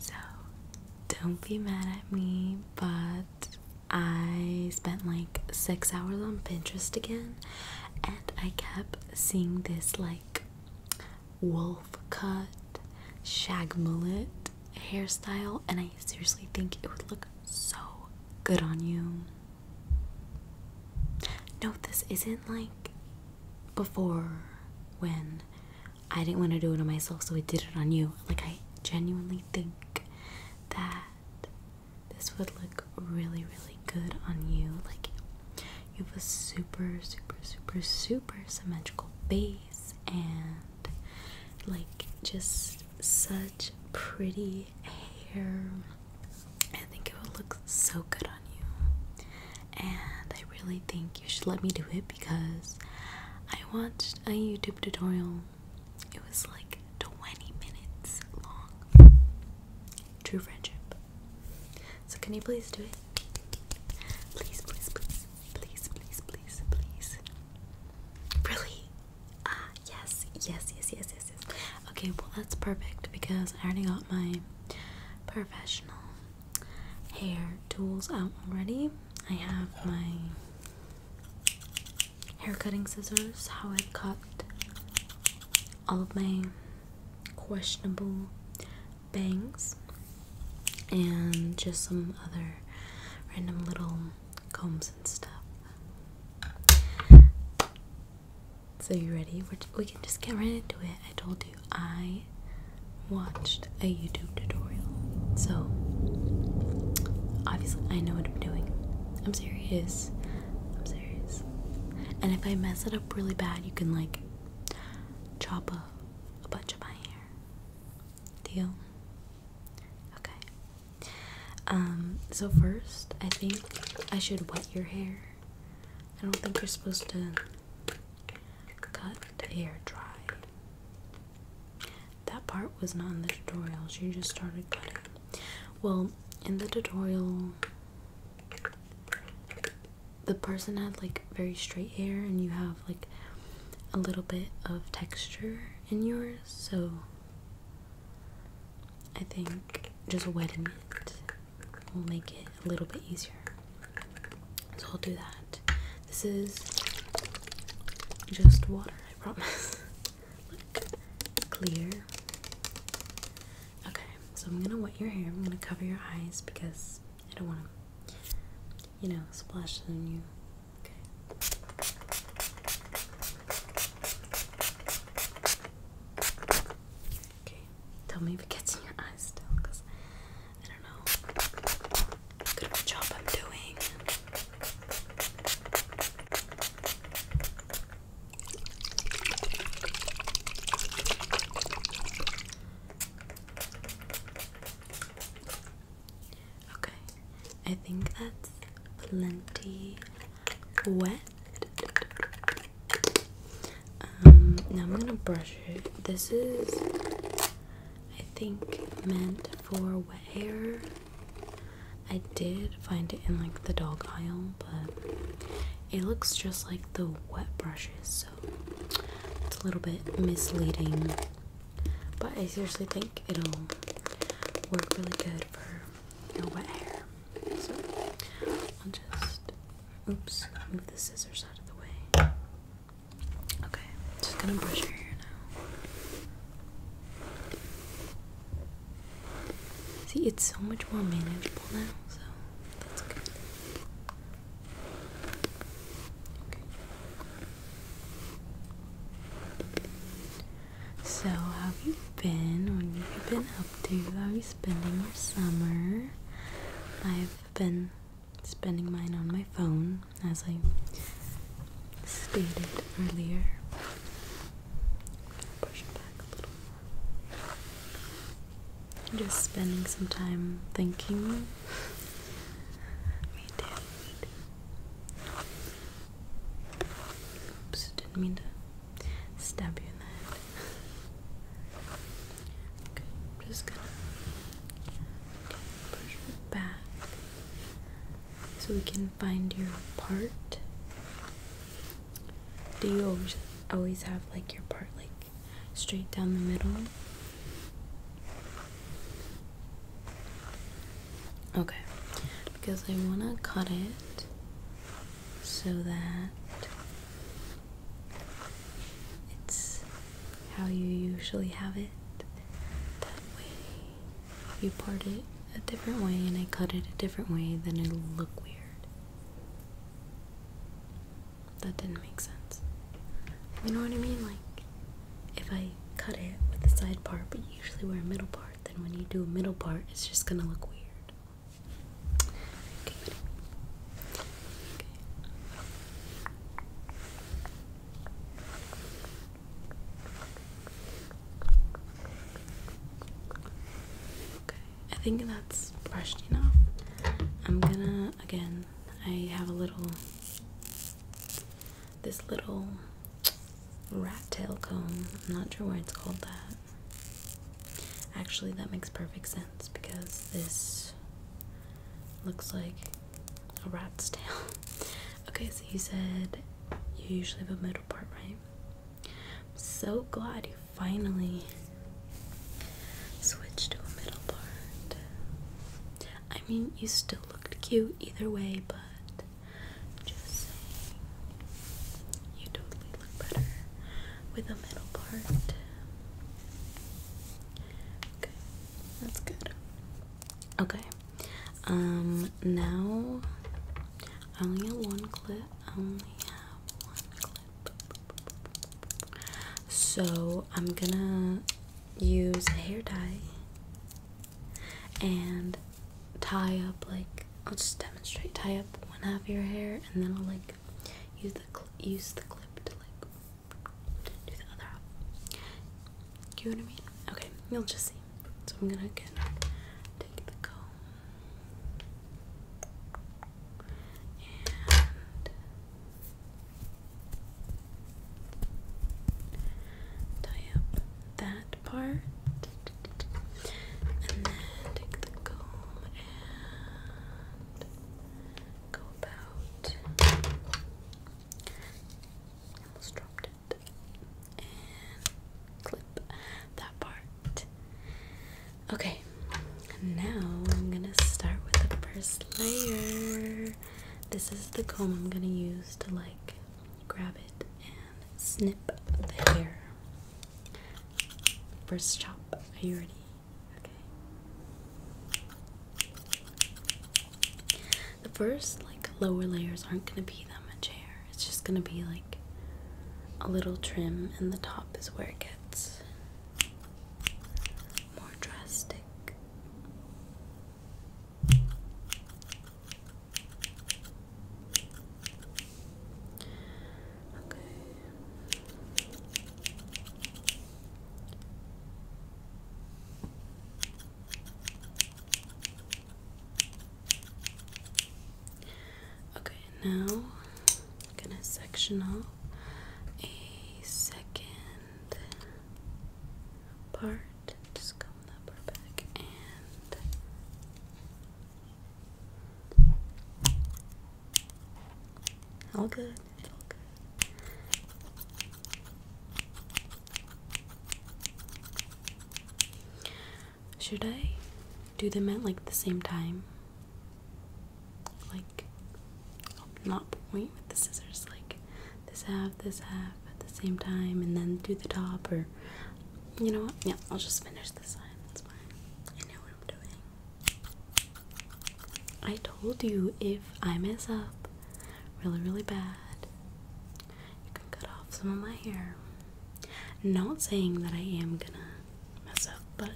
so don't be mad at me, but I spent like six hours on Pinterest again, and I kept seeing this like wolf cut shag mullet hairstyle, and I seriously think it would look so good on you. No, this isn't like before when I didn't want to do it on myself, so I did it on you. Like, I genuinely think that this would look really, really good on you. Like, you have a super, super, super, super symmetrical face, and like just such pretty hair. I think it would look looks so good on you. And I really think you should let me do it because I watched a YouTube tutorial. It was like 20 minutes long. True friendship. So can you please do it? Please, please, please, please, please, please, please. Really? Ah, yes, yes, yes, yes, yes, yes. Okay, well that's perfect because I already got my professional hair tools out already. I have my hair cutting scissors, how I cut all of my questionable bangs, and just some other random little combs and stuff. So you ready? we can just get right into it. I told you I watched a YouTube tutorial, so obviously I know what I'm doing. I'm serious. I'm serious. And if I mess it up really bad, you can like chop a, a bunch of my hair. Deal? Okay. Um. So first, I think I should wet your hair. I don't think you're supposed to Cut hair dry. That part was not in the tutorial. She just started cutting. Well, in the tutorial, the person had like very straight hair, and you have like a little bit of texture in yours, so I think just wetting it will make it a little bit easier. So I'll do that. This is just water, I promise. Look, clear. Okay, so I'm gonna wet your hair. I'm gonna cover your eyes because I don't want to, you know, splash on you. Okay. Okay, tell me if it gets in your eyes still, because I don't know. Good job I'm doing. Okay, I think that's plenty wet. Um, now I'm gonna brush it. This is, I think, meant for wet hair. I did find it in like the dog aisle, but it looks just like the wet brushes, so it's a little bit misleading. But I seriously think it'll work really good for your wet hair. So I'll just Oops, move the scissors out of the way. Okay, just gonna brush your hair now. See, it's so much more manageable now, so that's good. Okay. So, how have you been? What have been up up to? How you spending your summer? I've been spending mine on my phone, as I stated earlier. Push it Just spending some time thinking. Me too. Oops, didn't mean to stab you in the head. Okay, I'm just gonna push it back so we can find your part. Do you always have like your part like straight down the middle? Okay, because I wanna cut it so that it's how you usually have it. That way, if you part it a different way and I cut it a different way, then it'll look weird. That didn't make sense. You know what I mean? Like, if I cut it with the side part, but usually wear a middle part, then when you do a middle part, it's just gonna look weird. Okay, Okay. Okay, I think that's brushed enough. I'm gonna, again, I have a little, this little rat tail comb. I'm not sure why it's called that. Actually, that makes perfect sense because this looks like a rat's tail. okay, so you said you usually have a middle part, right? I'm so glad you finally switched to a middle part. I mean, you still looked cute either way, but just saying, you totally better with a middle part. Okay, that's good. Okay, um, now I only have one clip. I only have one clip. So I'm gonna use a hair dye and tie up like I'll just demonstrate tie up one half of your hair and then I'll like use the use the clip to like do the other up. You know what I mean? Okay, you'll just see. So I'm gonna take the comb and tie up that part. And then take the comb and go about almost dropped it and clip that part. Okay, now I'm gonna start with the first layer. This is the comb I'm gonna use to like grab it and snip the hair. First chop, are you ready? The first, like, lower layers aren't going to be that much hair. It's just going to be, like, a little trim, and the top is where it gets more drastic. Okay. Okay, now I'm gonna section off a second part. Just comb that part back and all good. all good. Should I do them at like the same time? Like, not point with the scissors, like this half, this half at the same time, and then do the top, or you know what? Yeah, I'll just finish this side. That's fine. I know what I'm doing. I told you if I mess up really, really bad, you can cut off some of my hair. Not saying that I am gonna mess up, but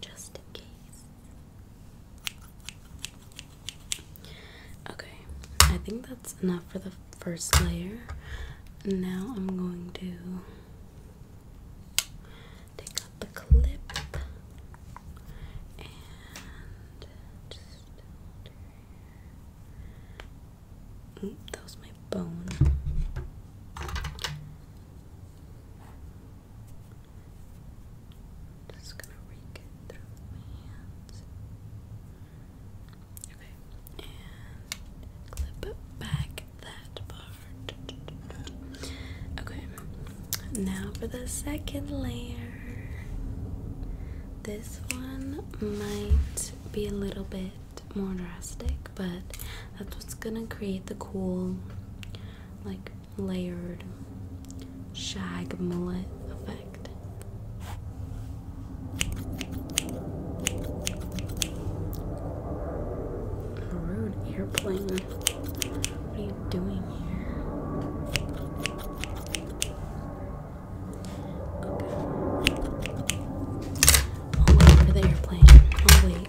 just in case. Okay, I think that's enough for the first layer. Now I'm going to Take out the clip and just under that was my bone. Just gonna rake it through my hands. Okay, and clip it back that part. Okay, now for the second layer. This one might be a little bit more drastic, but that's what's gonna create the cool, like, layered shag mullet effect. A rude airplane. What are you doing here? I'll wait for the airplane. I'll wait.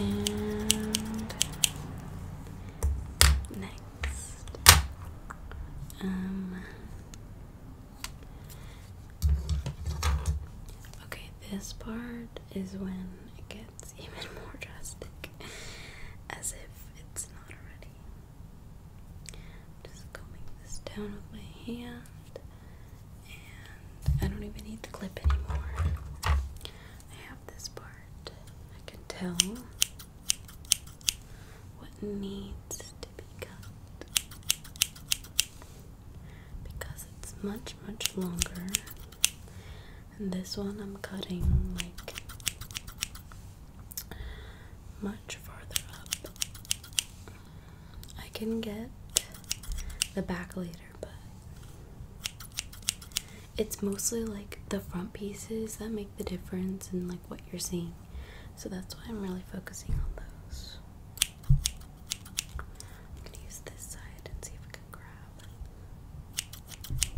And next, um, okay, this part is when it gets even more drastic, as if it's not already i just combing this down with my hand, and I don't even need the clip anymore. I have this part. I can tell what needs to be cut because it's much, much longer. And this one I'm cutting like much farther up. I can get the back later, but it's mostly like the front pieces that make the difference in like what you're seeing. So that's why I'm really focusing on those. I'm gonna use this side and see if I can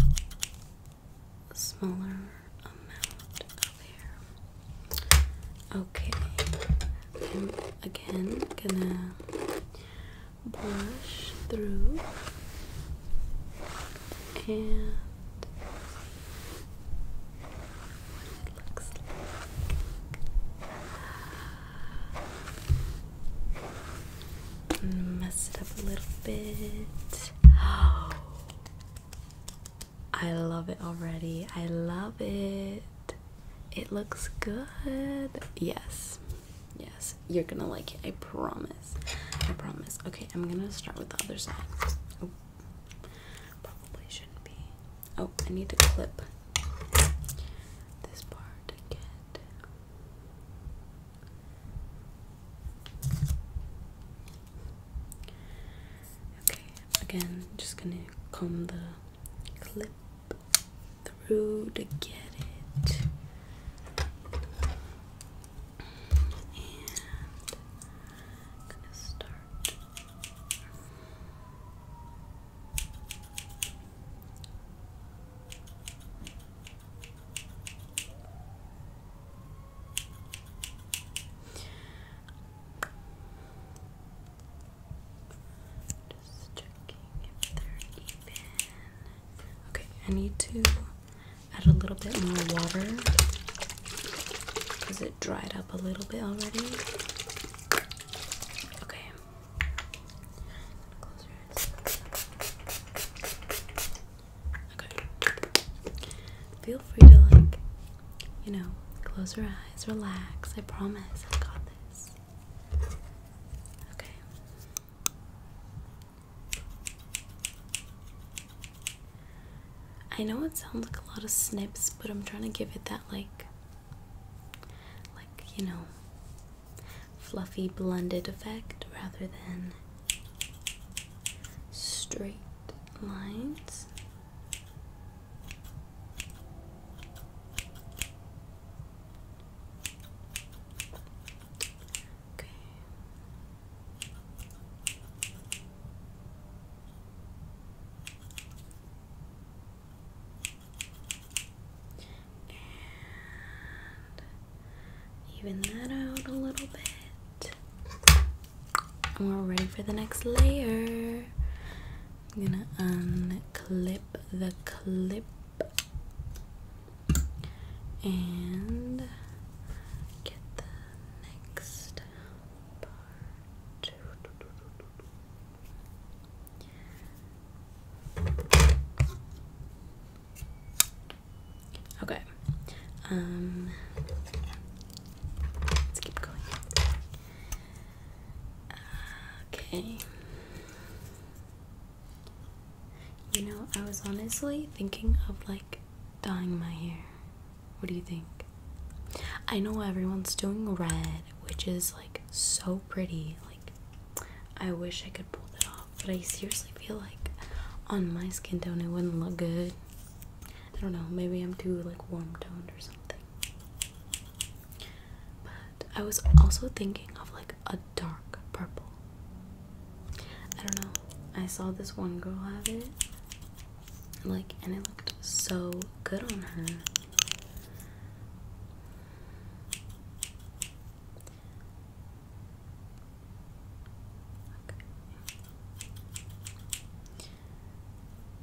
grab smaller Okay, I'm again gonna brush through and Mess it up a little bit. Oh, I love it already. I love it. It looks good. Yes. Yes. You're gonna like it. I promise. I promise. Okay, I'm gonna start with the other side. Oh. Probably shouldn't be. Oh, I need to clip this part to Okay, again, just gonna comb the clip through to get it. And start. Just checking if Okay, I need to add a little bit more water because it dried up a little bit already. Okay. Close your eyes. Okay. Feel free to like, you know, close your eyes, relax. I promise I got this. Okay. I know it sounds like a lot of snips, but I'm trying to give it that like like, you know, fluffy blended effect rather than straight lines. Okay. Even that out a little bit. And we're ready for the next layer. I'm gonna unclip the clip and get the next part. Okay. Um let's keep going. Okay. You know, I was honestly thinking of like dyeing my hair. What do you think? I know everyone's doing red, which is like so pretty. Like, I wish I could pull that off but I seriously feel like on my skin tone it wouldn't look good. I don't know, maybe I'm too like warm toned or something. But I was also thinking of like a dark purple. I don't know. I saw this one girl have it. Like and it looked so good on her.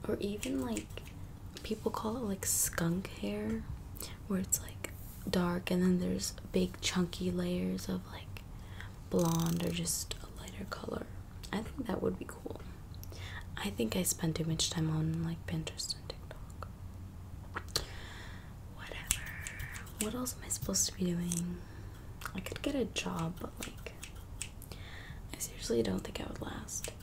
Or even like people call it like skunk hair, where it's like dark and then there's big chunky layers of like blonde or just a lighter color. I think that would be cool. I think I spend too much time on like Pinterest and TikTok. Whatever. What else am I supposed to be doing? I could get a job, but like, I seriously don't think I would last. It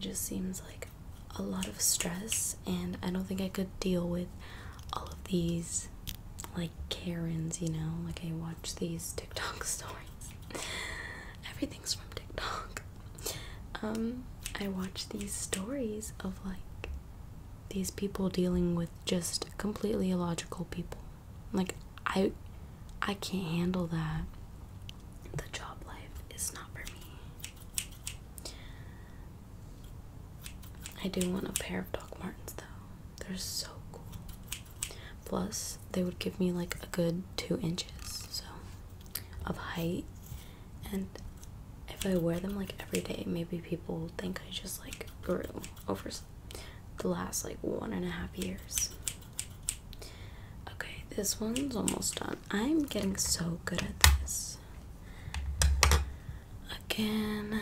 just seems like a lot of stress, and I don't think I could deal with all of these like Karens, you know? Like, I watch these TikTok stories. Everything's from TikTok. Um, I watch these stories of like these people dealing with just completely illogical people like i i can't handle that the job life is not for me i do want a pair of doc martens though they're so cool plus they would give me like a good two inches so of height and if I wear them like every day, maybe people think I just like grew over the last like one and a half years. Okay, this one's almost done. I'm getting so good at this. Again,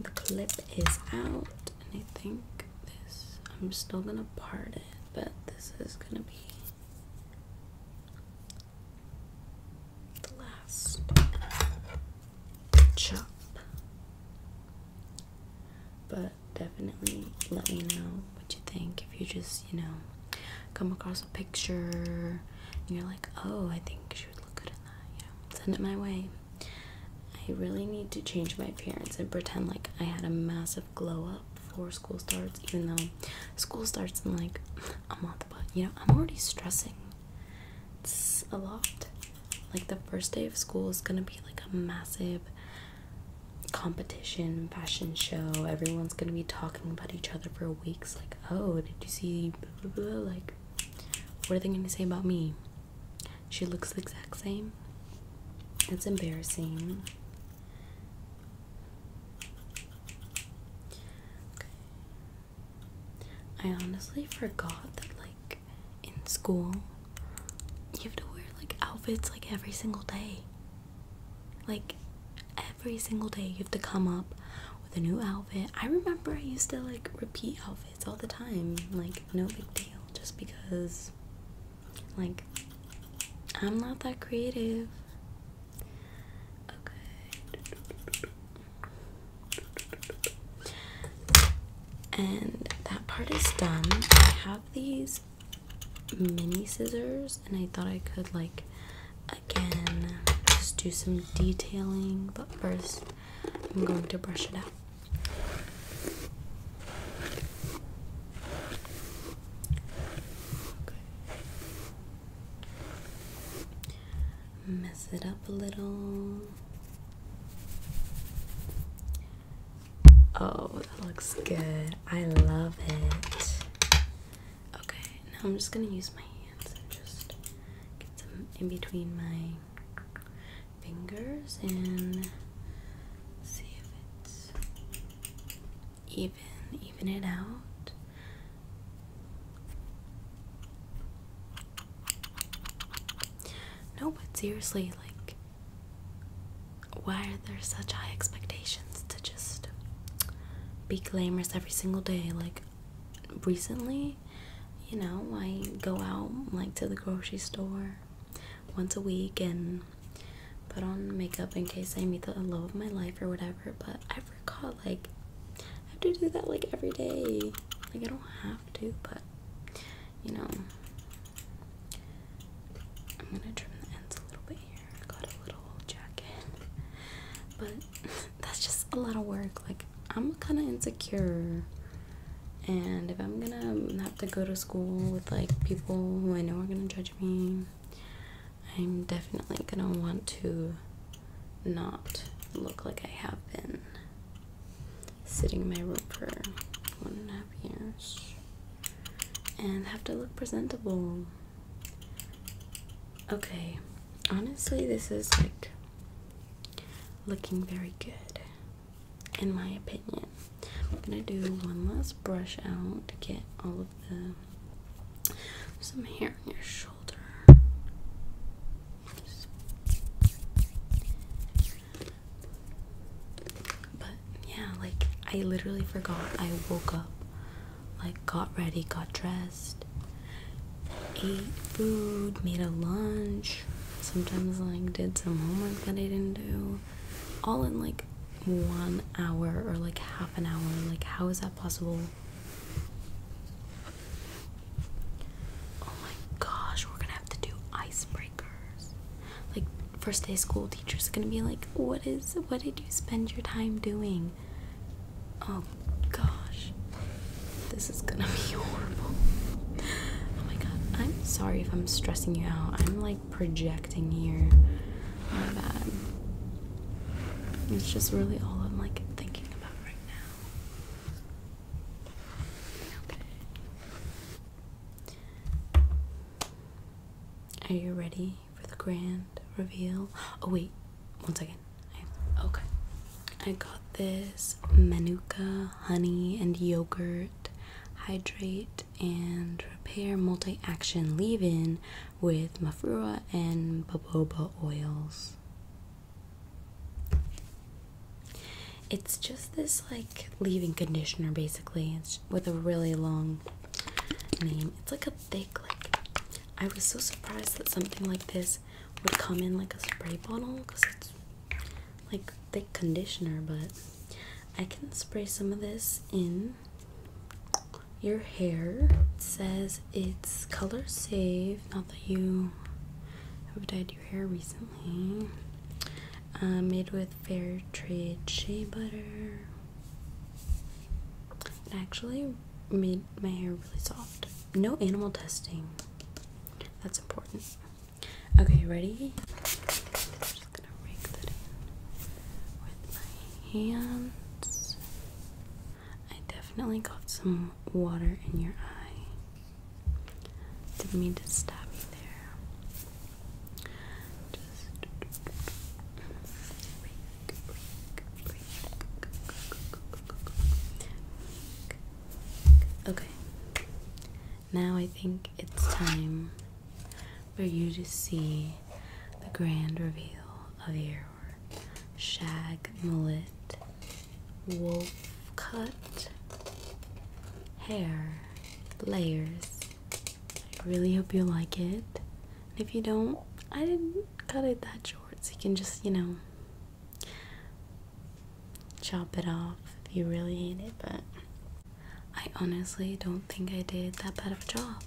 the clip is out, and I think this, I'm still gonna part it, but this is gonna be the last chop. But definitely let me know what you think if you just, you know, come across a picture and you're like, oh, I think she would look good in that, you know, send it my way. I really need to change my appearance and pretend like I had a massive glow up before school starts, even though school starts in like a month. But you know, I'm already stressing. It's a lot. Like the first day of school is gonna be like a massive competition, fashion show. Everyone's gonna be talking about each other for weeks. Like, oh, did you see? Like, what are they gonna say about me? She looks the exact same. That's embarrassing. I honestly forgot that like in school you have to wear like outfits like every single day. Like every single day you have to come up with a new outfit. I remember I used to like repeat outfits all the time. Like no big deal just because like I'm not that creative. Okay. And that part is done. I have these mini scissors, and I thought I could, like, again, just do some detailing, but first I'm going to brush it out. Mess it up a little. Oh, that looks good. I love it. Okay, now I'm just gonna use my hands and just get some in between my fingers and see if it's even even it out no but seriously like why are there such high expectations to just be glamorous every single day like recently you know i go out like to the grocery store once a week and put on makeup in case I meet the love of my life or whatever. But I forgot, like, I have to do that like every day. Like, I don't have to, but you know, I'm gonna trim the ends a little bit here. Got a little jacket, but that's just a lot of work. Like, I'm kind of insecure. And if I'm gonna have to go to school with like people who I know are gonna judge me, I'm definitely gonna want to not look like I have been sitting in my room for one and a half years and have to look presentable. Okay, honestly, this is like looking very good in my opinion. I'm gonna do one last brush out to get all of the some hair on your shoulder. But yeah, like I literally forgot. I woke up, like got ready, got dressed, ate food, made a lunch. Sometimes like did some homework that I didn't do. All in like one hour or like half an hour. Like, how is that possible? Oh my gosh, we're gonna have to do icebreakers. Like, first day school teachers gonna be like, What is what did you spend your time doing? Oh gosh, this is gonna be horrible. Oh my god, I'm sorry if I'm stressing you out. I'm like projecting here or that. It's just really all I'm like thinking about right now. Okay. Are you ready for the grand reveal? Oh wait, one second. I, okay. I got this Manuka honey and yogurt hydrate and repair multi-action leave-in with mafura and baboba oils. It's just this like leave-in conditioner basically. It's with a really long name. It's like a thick like I was so surprised that something like this would come in like a spray bottle because it's like thick conditioner, but I can spray some of this in your hair. says it's color safe. Not that you have dyed your hair recently. Uh, made with fair trade shea butter. It actually made my hair really soft. No animal testing. That's important. Okay, ready? just gonna rake that in with my hands. I definitely got some water in your eye. Didn't mean to stop you there. Just Okay. Now I think it's time for you to see the grand reveal of your shag mullet, wolf cut hair layers. I really hope you like it. If you don't, I didn't cut it that short, so you can just, you know, chop it off if you really hate it, but I honestly don't think I did that bad of a job.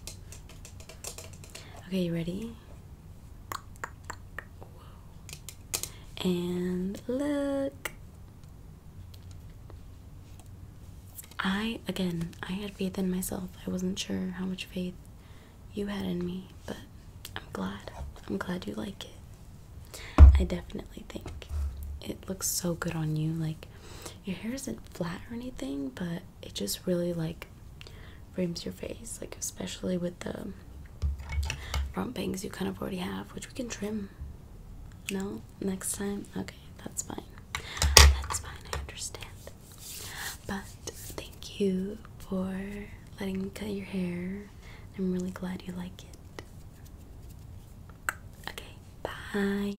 Okay, you ready? And look. I, again, I had faith in myself. I wasn't sure how much faith you had in me, but I'm glad. I'm glad you like it. I definitely think it looks so good on you. Like, your hair isn't flat or anything, but it just really like frames your face, like especially with the front bangs you kind of already have, which we can trim. No, next time. Okay, that's fine. That's fine. I understand. But thank you for letting me cut your hair. I'm really glad you like it. Okay, bye.